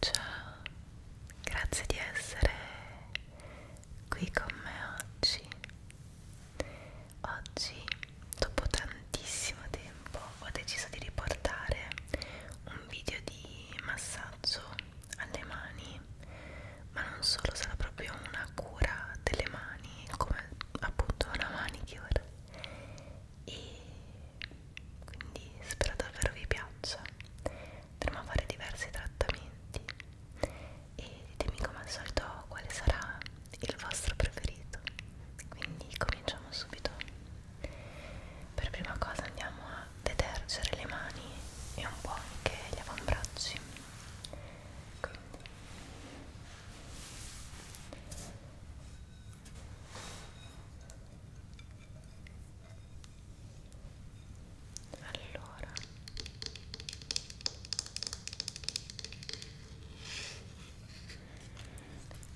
Ciao, grazie di essere qui con me oggi. Oggi, dopo tantissimo tempo, ho deciso di riportare un video di massaggio alle mani, ma non solo, sarà proprio una cura delle mani, come appunto una manicure. E quindi spero davvero vi piaccia andremo a fare diversi trattamenti e ditemi come al solito quale sarà il vostro preferito quindi cominciamo subito per prima cosa andiamo a detergere le mani e un po' anche gli avambracci quindi allora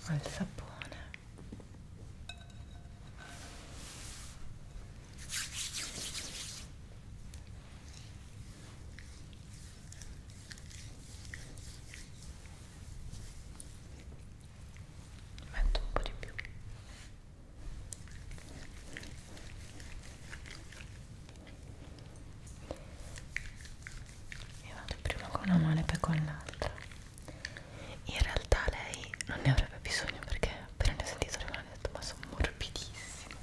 ho il sapone metto un po' di più e vado prima con una mano e poi con l'altra in realtà lei non ne avrebbe bisogno perché appena ne ho sentito le mani ho detto ma sono morbidissime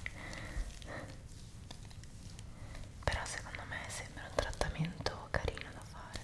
però secondo me sembra un trattamento carino da fare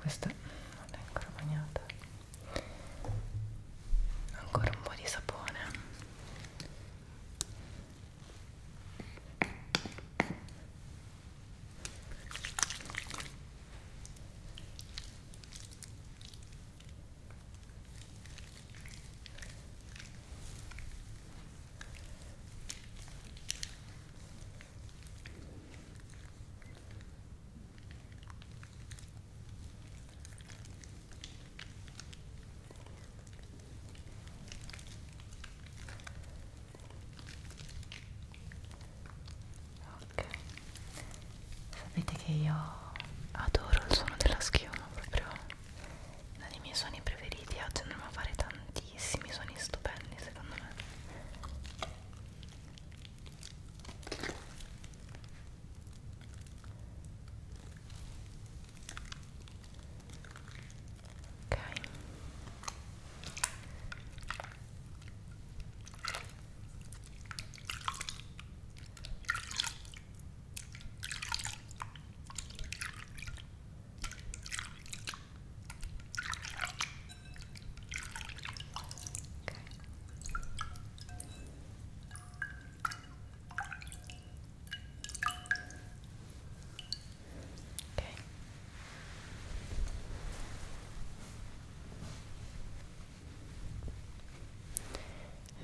questa non è ancora bagnata ancora un po' di sapone Ok, sapete che io adoro il suono della schiuma proprio uno dei miei sogni preferiti oggi andremo a fare tantissimi sogni stupendi secondo me ok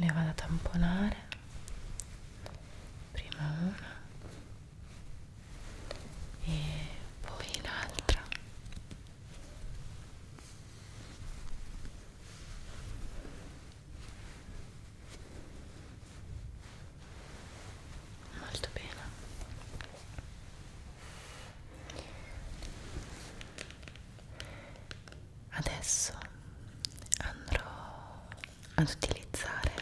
le vado a tamponare prima una e poi l'altra molto bene adesso andrò ad utilizzare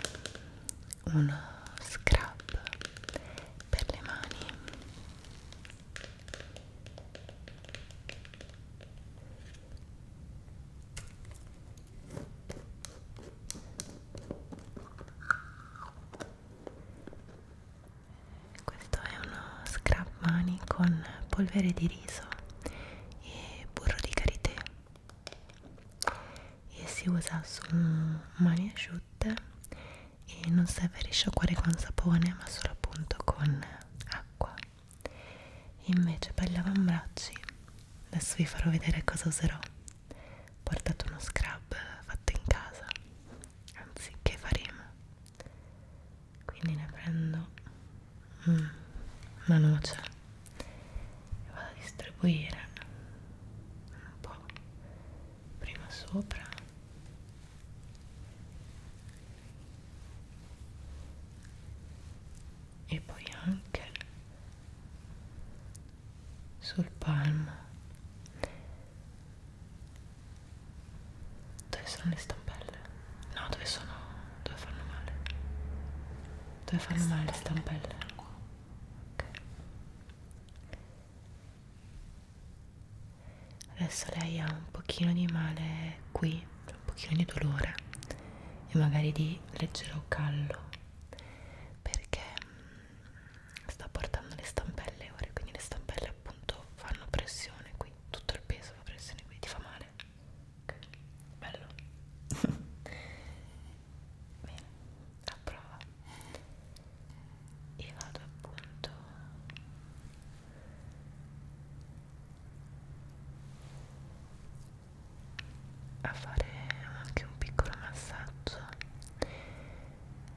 uno scrub per le mani questo è uno scrub mani con polvere di riso e burro di karité e si usa su mani asciutte e non serve risciacquare con sapone ma solo appunto con acqua invece per gli avambracci adesso vi farò vedere cosa userò ho portato uno scrub fatto in casa anzi che faremo quindi ne prendo mm, una noce e vado a distribuire un po' prima sopra e poi anche sul palmo dove sono le stampelle? no dove sono? dove fanno male? dove fanno male le stampelle? ok adesso lei ha un pochino di male qui un pochino di dolore e magari di leggero callo perché mm, sta portando le stampelle ora quindi le stampelle appunto fanno pressione qui tutto il peso fa pressione qui ti fa male ok bello bene, a prova e vado appunto a fare anche un piccolo massaggio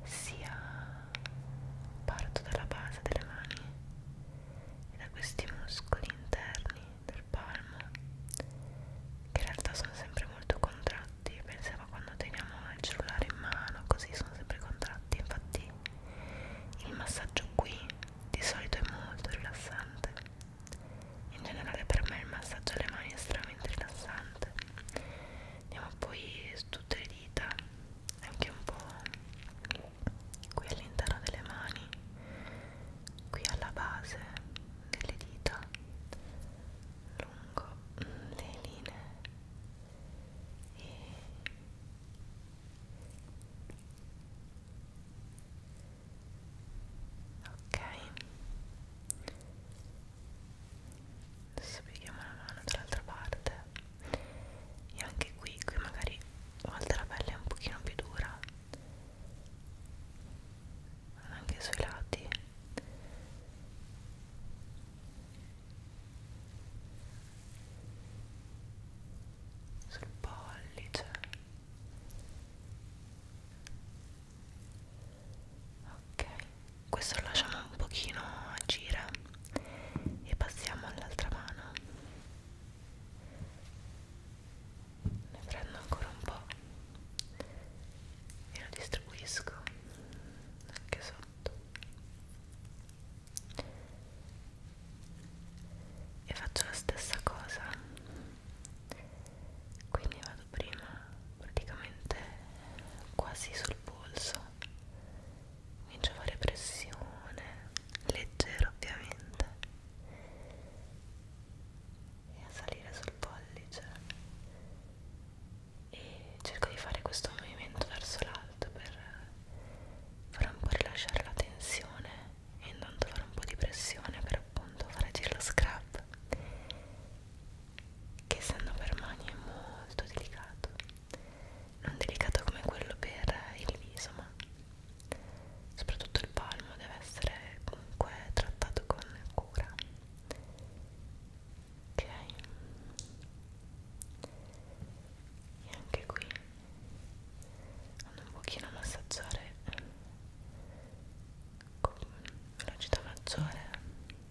sia parto dalla base delle mani e da questi muscoli interni del col palmo che in realtà sono sempre molto contratti pensavo quando teniamo il cellulare in mano così sono sempre contratti infatti il massaggio qui di solito è molto rilassante in generale per me il massaggio alle mani è estremamente rilassante andiamo poi su tutte le dita anche un po' qui all'interno delle mani qui alla base delle dita lungo le linee e ok adesso pieghiamo la mano dall'altra parte e anche qui qui magari a volte la pelle è un pochino più dura anche sui lati sul pollice ok questo lo lasciamo un pochino agire e passiamo all'altra mano ne prendo ancora un po' e lo distribuisco anche sotto e faccio la stessa cosa quindi vado prima praticamente quasi sul polso comincio a fare pressione leggero ovviamente e a salire sul pollice e cerco di fare questo movimento verso l'alto per far un po' rilasciare la tensione e intanto fare un po' di pressione per appunto far agire lo scrub che essendo per mani è molto delicato non delicato come quello per il viso ma soprattutto il palmo deve essere comunque trattato con scura ok e anche qui vado un pochino a massaggiare con velocità maggiore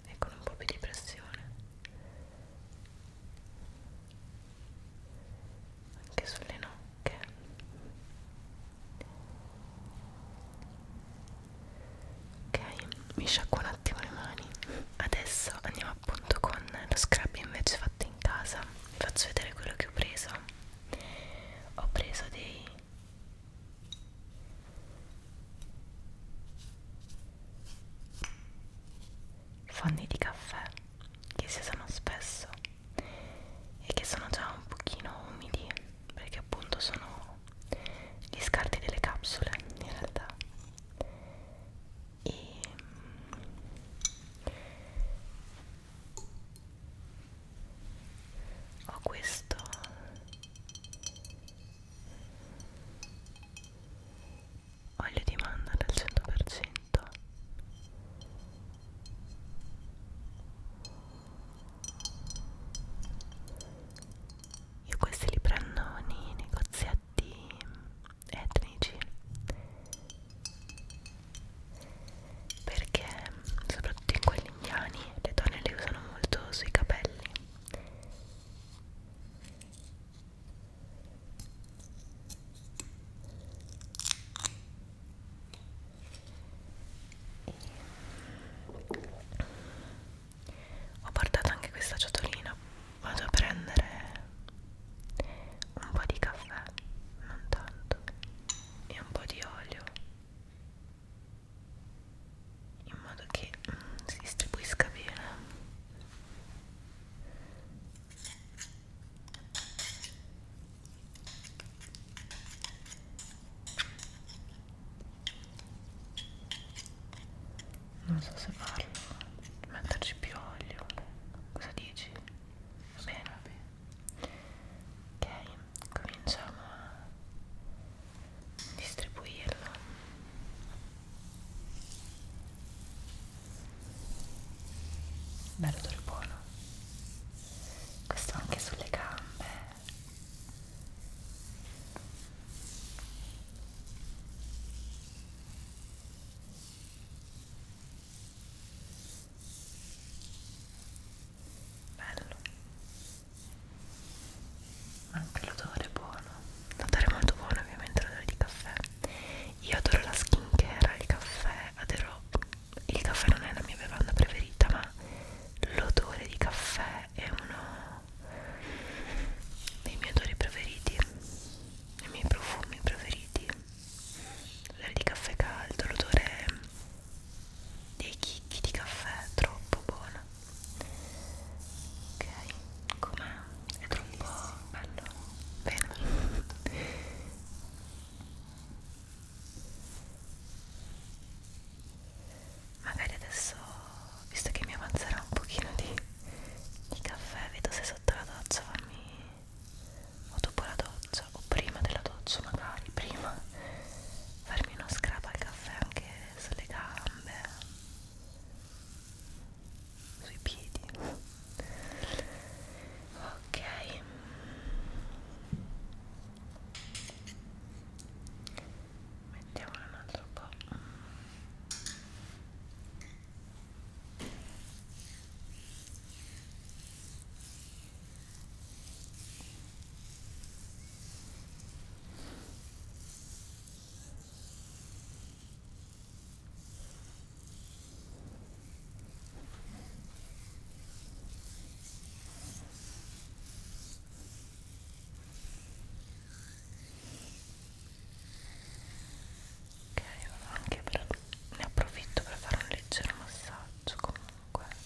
e con un po' più di pressione anche sulle nocche ok mi sciacquo un attimo le mani adesso andiamo appunto con lo scrub invece fatto in casa vi faccio vedere quello che ho preso ho preso dei fondi di caffè che si usano spesso e che sono già un pochino umidi perché appunto sono gli scarti delle capsule in realtà e mm, ho questo olio di mandorla al 100% io questi li prendo nei negoziati etnici perché soprattutto in quelli indiani le donne li usano molto sui capelli ho portato anche questa ciotolina vado a prendere un po' di caffè non tanto e un po' di olio in modo che mm, si distribuisca bene non so se farlo metterci più olio cosa dici? va bene va bene ok cominciamo a distribuirlo bello odore buono questo anche sulle gambe bello anche l'odore è buono l'odore è molto buono ovviamente l'odore di caffè io adoro la skin care al caffè adoro il caffè non è la mia bevanda preferita ma l'odore di caffè è uno dei miei odori preferiti i miei profumi preferiti l'odore di caffè caldo l'odore dei chicchi di caffè troppo buono ok com'è? è troppo bello bene magari adesso visto che mi avanzerà un pochino di, di caffè vedo se sotto la doccia fammi o dopo la doccia o prima della doccia magari prima farmi uno scrub al caffè anche sulle gambe sui piedi ok mettiamone un altro po' Ok, anche per... ne approfitto per fare un leggero massaggio comunque. Ok,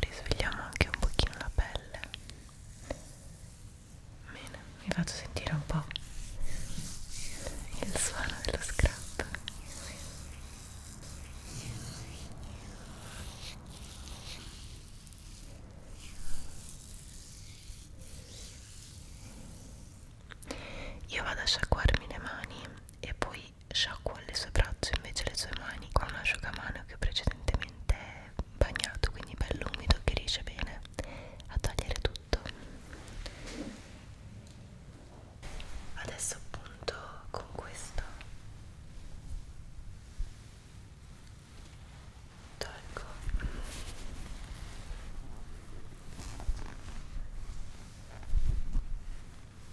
risvegliamo anche un pochino la pelle bene, vi faccio sentire un po' il suono dello scrap io vado a sciacquarmi le mani e poi sciacqua le sue braccia invece le sue mani con un asciugamano che ho precedentemente bagnato quindi bello umido che riesce bene a tagliare tutto adesso appunto con questo tolgo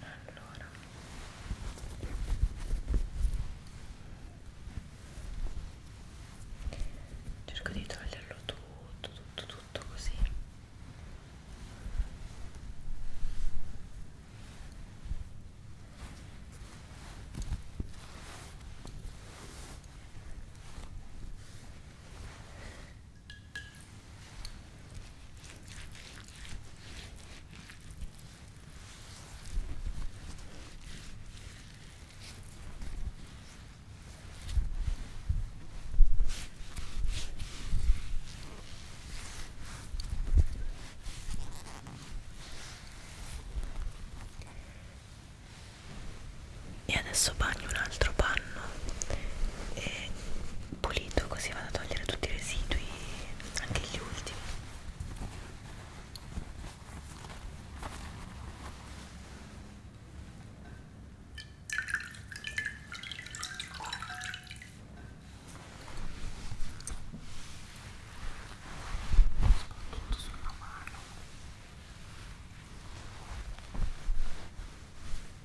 allora cerco di toglierlo tutto tutto tutto così e adesso bagno un altro panno e pulito così vado a togliere tutti i residui anche gli ultimi soprattutto sulla mano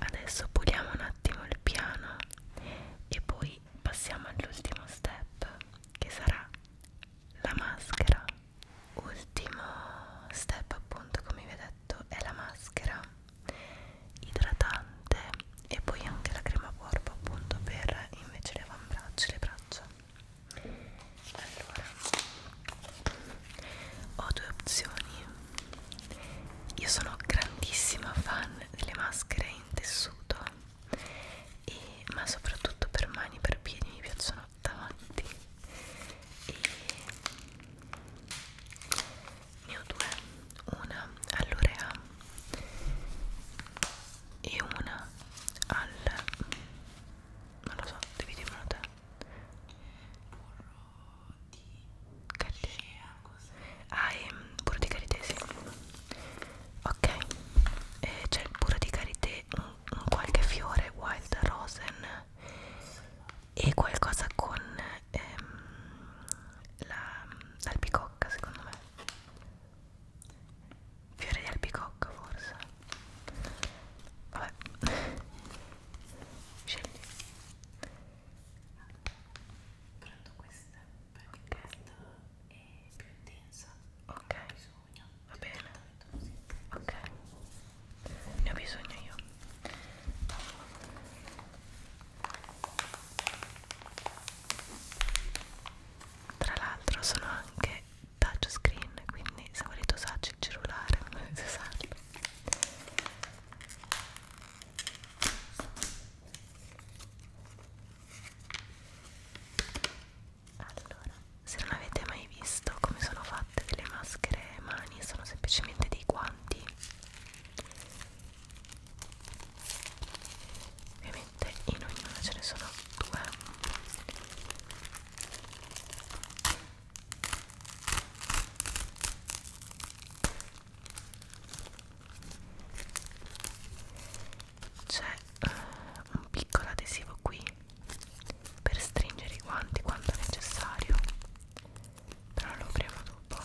Adesso puliamo un attimo il piano e poi passiamo all'ultimo step che sarà la maschera. Ultimo step appunto come vi ho detto è la maschera idratante e poi anche la crema porpo appunto per invece le avambraccia e le braccia allora ho due opzioni io sono grandissima fan delle maschere in tessuto e, ma soprattutto per mani e per piedi mi piacciono tanti e ne ho due una all'Orea e una al non lo so devi dirmelo te Caricea ah e burro mm, di karité sì. ok c'è il burro di karité un, un qualche fiore wild rosen e qualcosa con ehm, l'albicocca la, secondo me Fiore di albicocca forse Vabbè Scegli Prendo questa perché okay. questa è più intensa Ok bisogno. Va bene Ok Ne ho bisogno io tra l'altro sono anche touch screen quindi se volete usarci il cellulare non dovete usarlo allora se non avete mai visto come sono fatte delle maschere mani sono semplicemente dei guanti ovviamente niente in ognuna ce ne sono due c'è uh, un piccolo adesivo qui per stringere i guanti quando necessario però lo apriamo dopo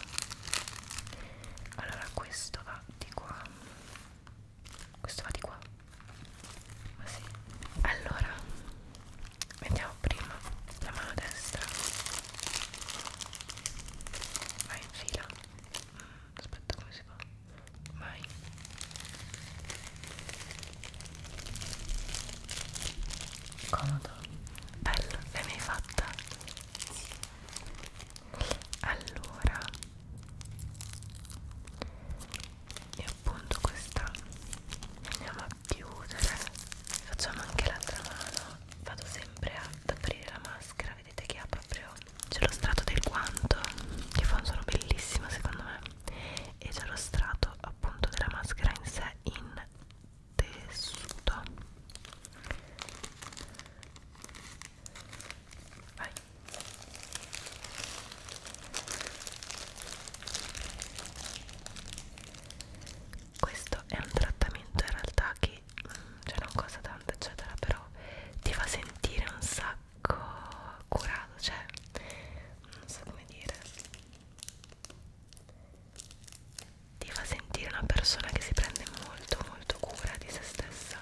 allora questo va di qua questo va di qua ma sì allora mettiamo prima la mano destra vai in fila mm, aspetta come si fa vai comodo bello l'hai mai fatta? sì allora e appunto questa andiamo a chiudere facciamo anche l'altra mano vado sempre ad aprire la maschera vedete che ha proprio c'è lo strato del guanto che fa un suono bellissimo secondo me e c'è lo strato appunto della maschera in sé in tessuto vai questo è un trattamento in realtà che mm, cioè non costa tanto eccetera però ti fa sentire un sacco curato cioè non so come dire ti fa sentire una persona che si prende molto molto cura di se stessa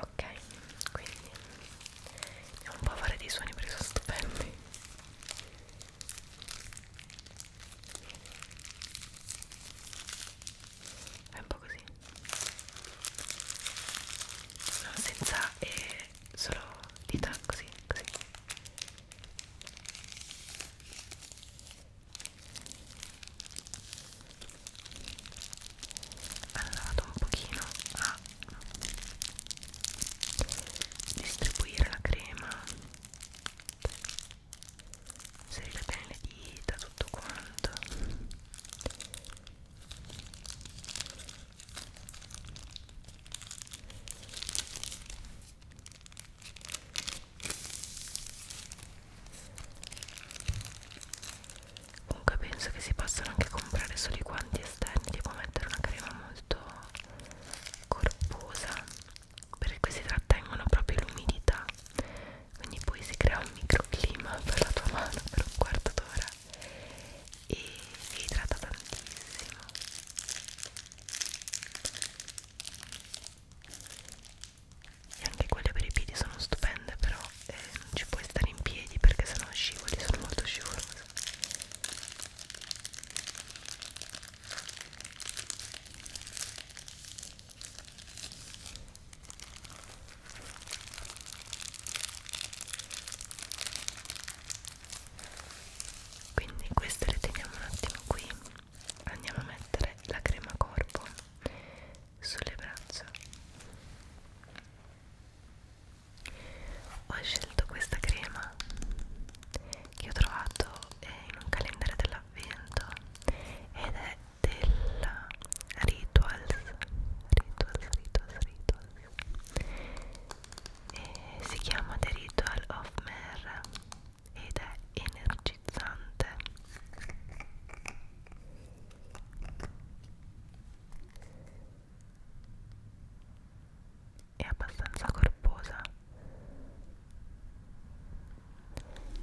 ok quindi andiamo un po' a fare dei suoni perché sono stupendi è un po' così no, senza eh, solo dita così così allora vado un pochino a distribuire la crema inserire bene le dita tutto quanto comunque penso che si possano anche comprare solo i guanti esterni tipo mettere una crema molto corposa perché questi trattengono proprio l'umidità quindi poi si crea un microclima per la tua mano per un quarto d'ora e vi idrata tantissimo e anche quelle per i piedi sono stupende però eh, non ci puoi stare in piedi perché sennò scivoli, sono molto scivolose quindi queste le teniamo un attimo qui andiamo a mettere la crema corpo sulle braccia ho scelto questa crema che ho trovato eh, in un calendario dell'avvento ed è della Rituals Rituals, Rituals, Rituals e si chiama The Ritual of Mer ed è energizzante è abbastanza corposa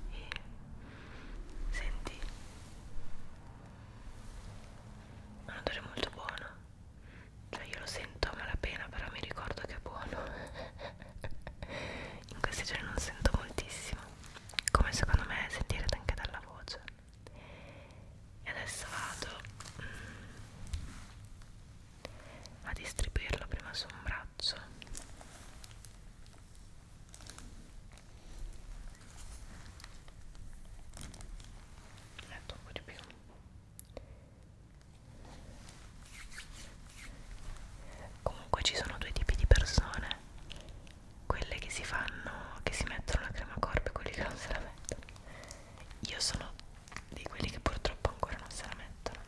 e senti un odore molto buono cioè io lo sento a malapena però mi ricordo che è buono in questi giorni non sento moltissimo come secondo me sentirete anche dalla voce e adesso vado mm, a distribuirlo prima su un braccio metto un po' di più comunque ci sono due tipi di persone quelle che si fanno che si mettono la crema corp e quelli che non se la mettono io sono di quelli che purtroppo ancora non se la mettono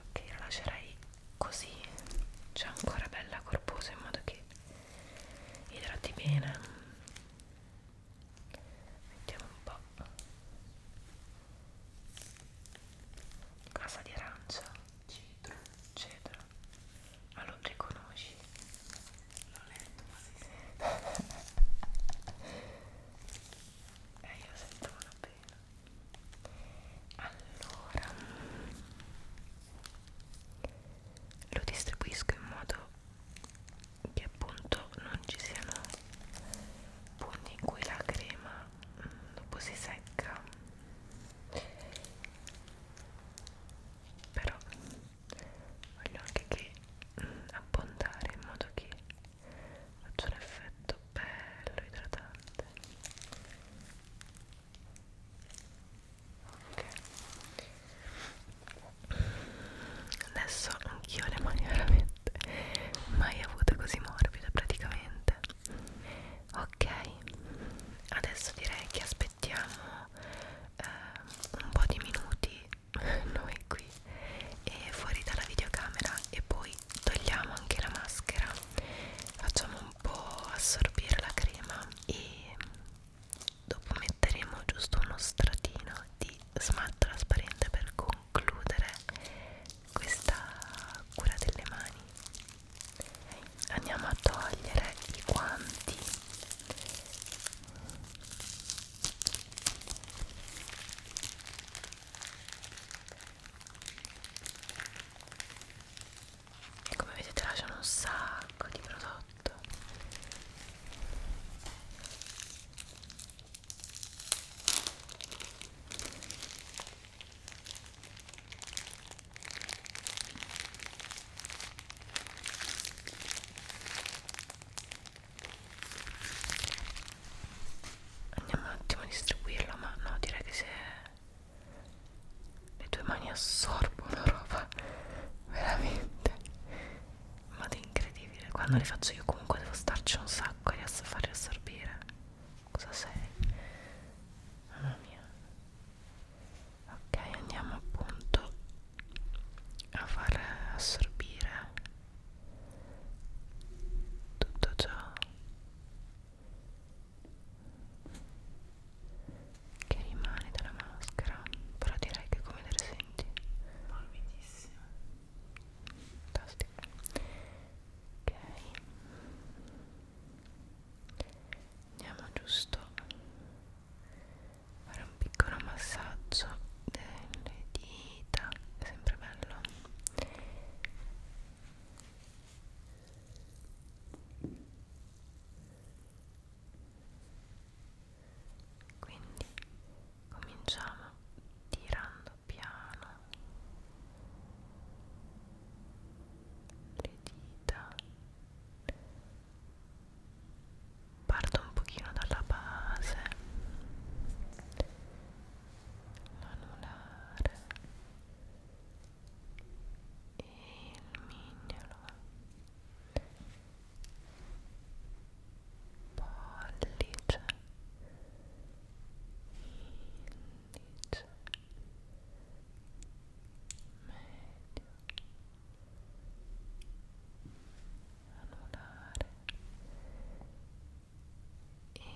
ok la lascerei così c'è ancora bella corposa in modo che idrati bene mettiamo un po' casa di arancia cedro cedro ma lo riconosci? l'ho letto ma si sente eh io sento una pena allora lo distribuisco in modo che appunto non ci siano punti in cui la crema mm, dopo si secca però voglio anche che mm, abbondare in modo che faccia un effetto bello idratante ok adesso anch'io le mani veramente mai avute così morbide praticamente ok adesso direi che aspettiamo eh, un po' di minuti noi qui e fuori dalla videocamera e poi togliamo anche la maschera facciamo un po' assorbire la crema e dopo metteremo giusto uno stratino di smalto trasparente per concludere questa cura delle mani andiamo a togliere i guanti e come vedete lasciano un sacco di prodotti fatto andiamo un attimo a distribuirlo ma no direi che se le tue mani assorbono roba veramente ma è incredibile quando le faccio io comunque devo starci un sacco e riesco a farle assorbire cosa sei? mamma mia ok andiamo appunto a far assorbire tutto ciò che rimane dalla maschera però direi che come vedere quindi morbidissimo fantastico ok andiamo giusto a fare un piccolo massaggio delle dita è sempre bello ok quindi cominciamo tirando piano le dita parto un pochino dalla base l'anulare e il mignolo e pollice indice medio anulare e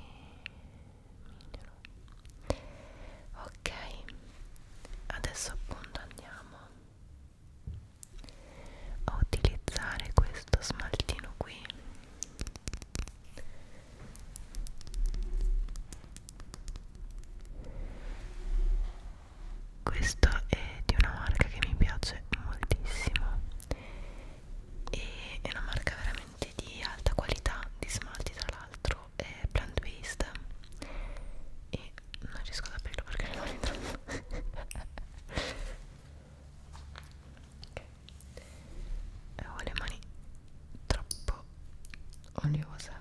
mignolo ok adesso appunto andiamo a utilizzare questo smaltino qui questo è di una marca che mi piace moltissimo e è una marca veramente di alta qualità di smalti tra l'altro è plant based e non riesco ad aprirlo perché non li trovo ok e ho le mani troppo oliose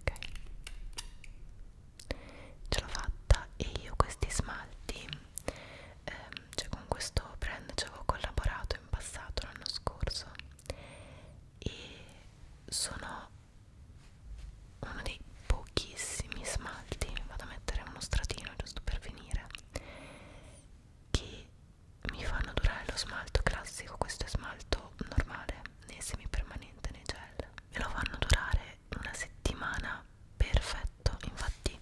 ok ce l'ho fatta e io questi smalti ehm, cioè con questo brand ci avevo collaborato in passato l'anno scorso e sono uno dei pochissimi smalti vado a mettere uno stratino giusto per finire che mi fanno durare lo smalto classico questo è smalto normale né semipermanente né gel me lo fanno durare una settimana perfetto infatti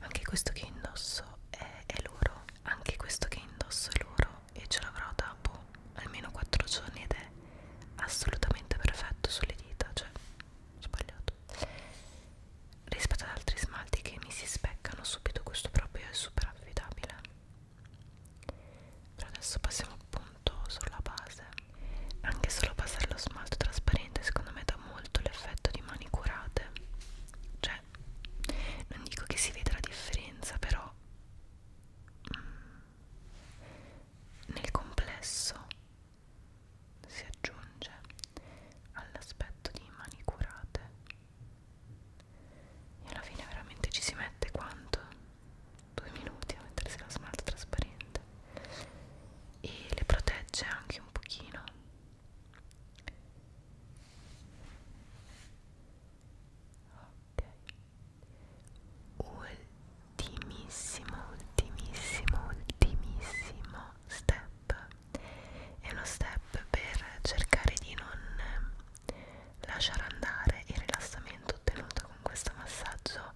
anche questo che indosso è, è loro anche questo che indosso è loro e ce l'avrò dopo almeno 4 giorni ed è assolutamente perfetto sulle dita, cioè sbagliato rispetto ad altri smalti che mi si speccano subito questo proprio è super affidabile però adesso passiamo appunto sulla base anche solo passare lo smalto trasparente secondo me dà molto l'effetto di mani curate cioè non dico che si veda la differenza però mm, nel complesso si aggiunge all'aspetto di mani curate e alla fine veramente ci si mette quanto? Due minuti a mettersi la smalto trasparente e le protegge anche un pochino ok ultimissimo ultimissimo ultimissimo step è uno step per cercare di non lasciare andare il rilassamento ottenuto con questo massaggio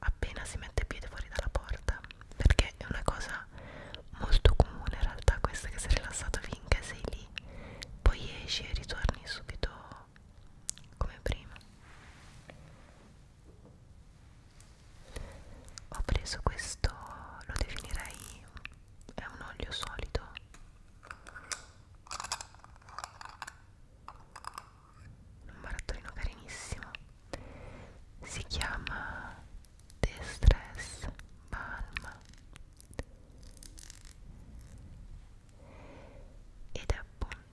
appena si mette piede fuori dalla porta perché è una cosa molto comune in realtà questa che sei rilassato finché sei lì poi esci e ritorni subito po' come prima ho preso questo lo definirei è un olio solido un barattolino carinissimo si chiama The Stress Balm ed è appunto fatto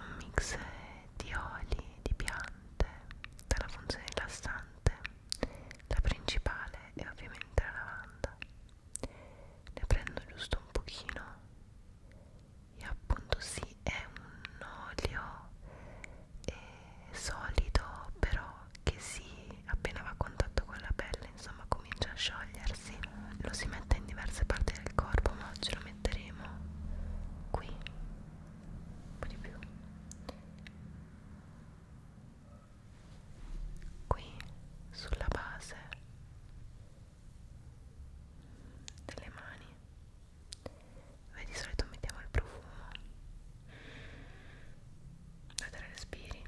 un mix di oli, di piante, dalla funzione rilassante, la principale è ovviamente la lavanda. Ne prendo giusto un pochino e appunto sì, è un olio eh, solido però che si appena va a contatto con la pelle quando insomma comincia a sciogliersi lo si mette in diverse parti del corpo ma oggi lo metteremo qui un po' di più qui sulla base delle mani Beh, di solito mettiamo il profumo vedere respiri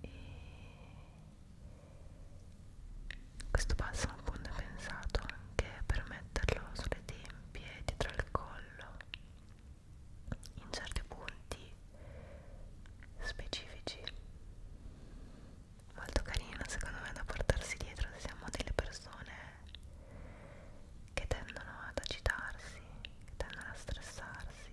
e questo passo al fondo è pensato anche per metterlo sulle tempie dietro al collo in certi punti specifici molto carino secondo me da portarsi dietro se siamo delle persone che tendono ad agitarsi che tendono a stressarsi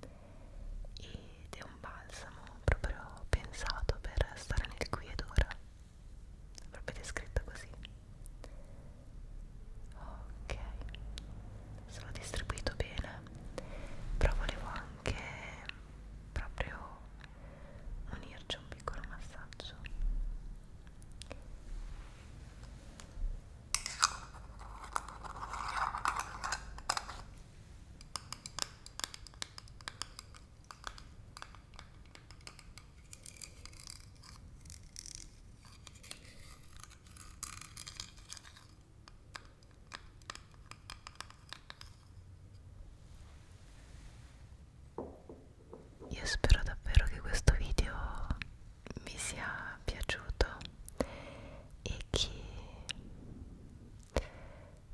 ed è un balsamo proprio pensato per stare nel qui ed ora proprio descritto così ok sono distribuito bene però volevo anche proprio unirci un piccolo massaggio io spero davvero che questo video vi sia piaciuto e che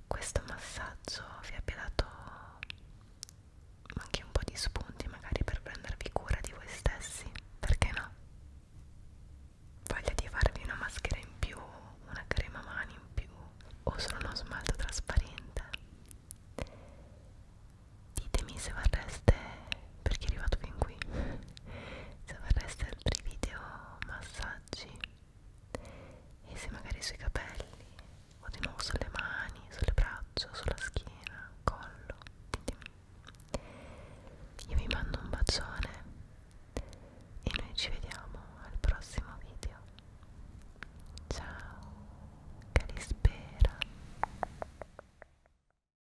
questo massaggio vi abbia dato anche un po' di spunti magari per prendervi cura di voi stessi perché no? voglia di farvi una maschera in più una crema mani in più o solo uno smalto trasparente ditemi se vorreste perché è arrivato fin qui se vorreste altri video massaggi e se magari sui capelli o di nuovo sulle mani, sulle braccia, sulla schiena, collo ditemi io vi mando un bacione e noi ci vediamo al prossimo video ciao carispera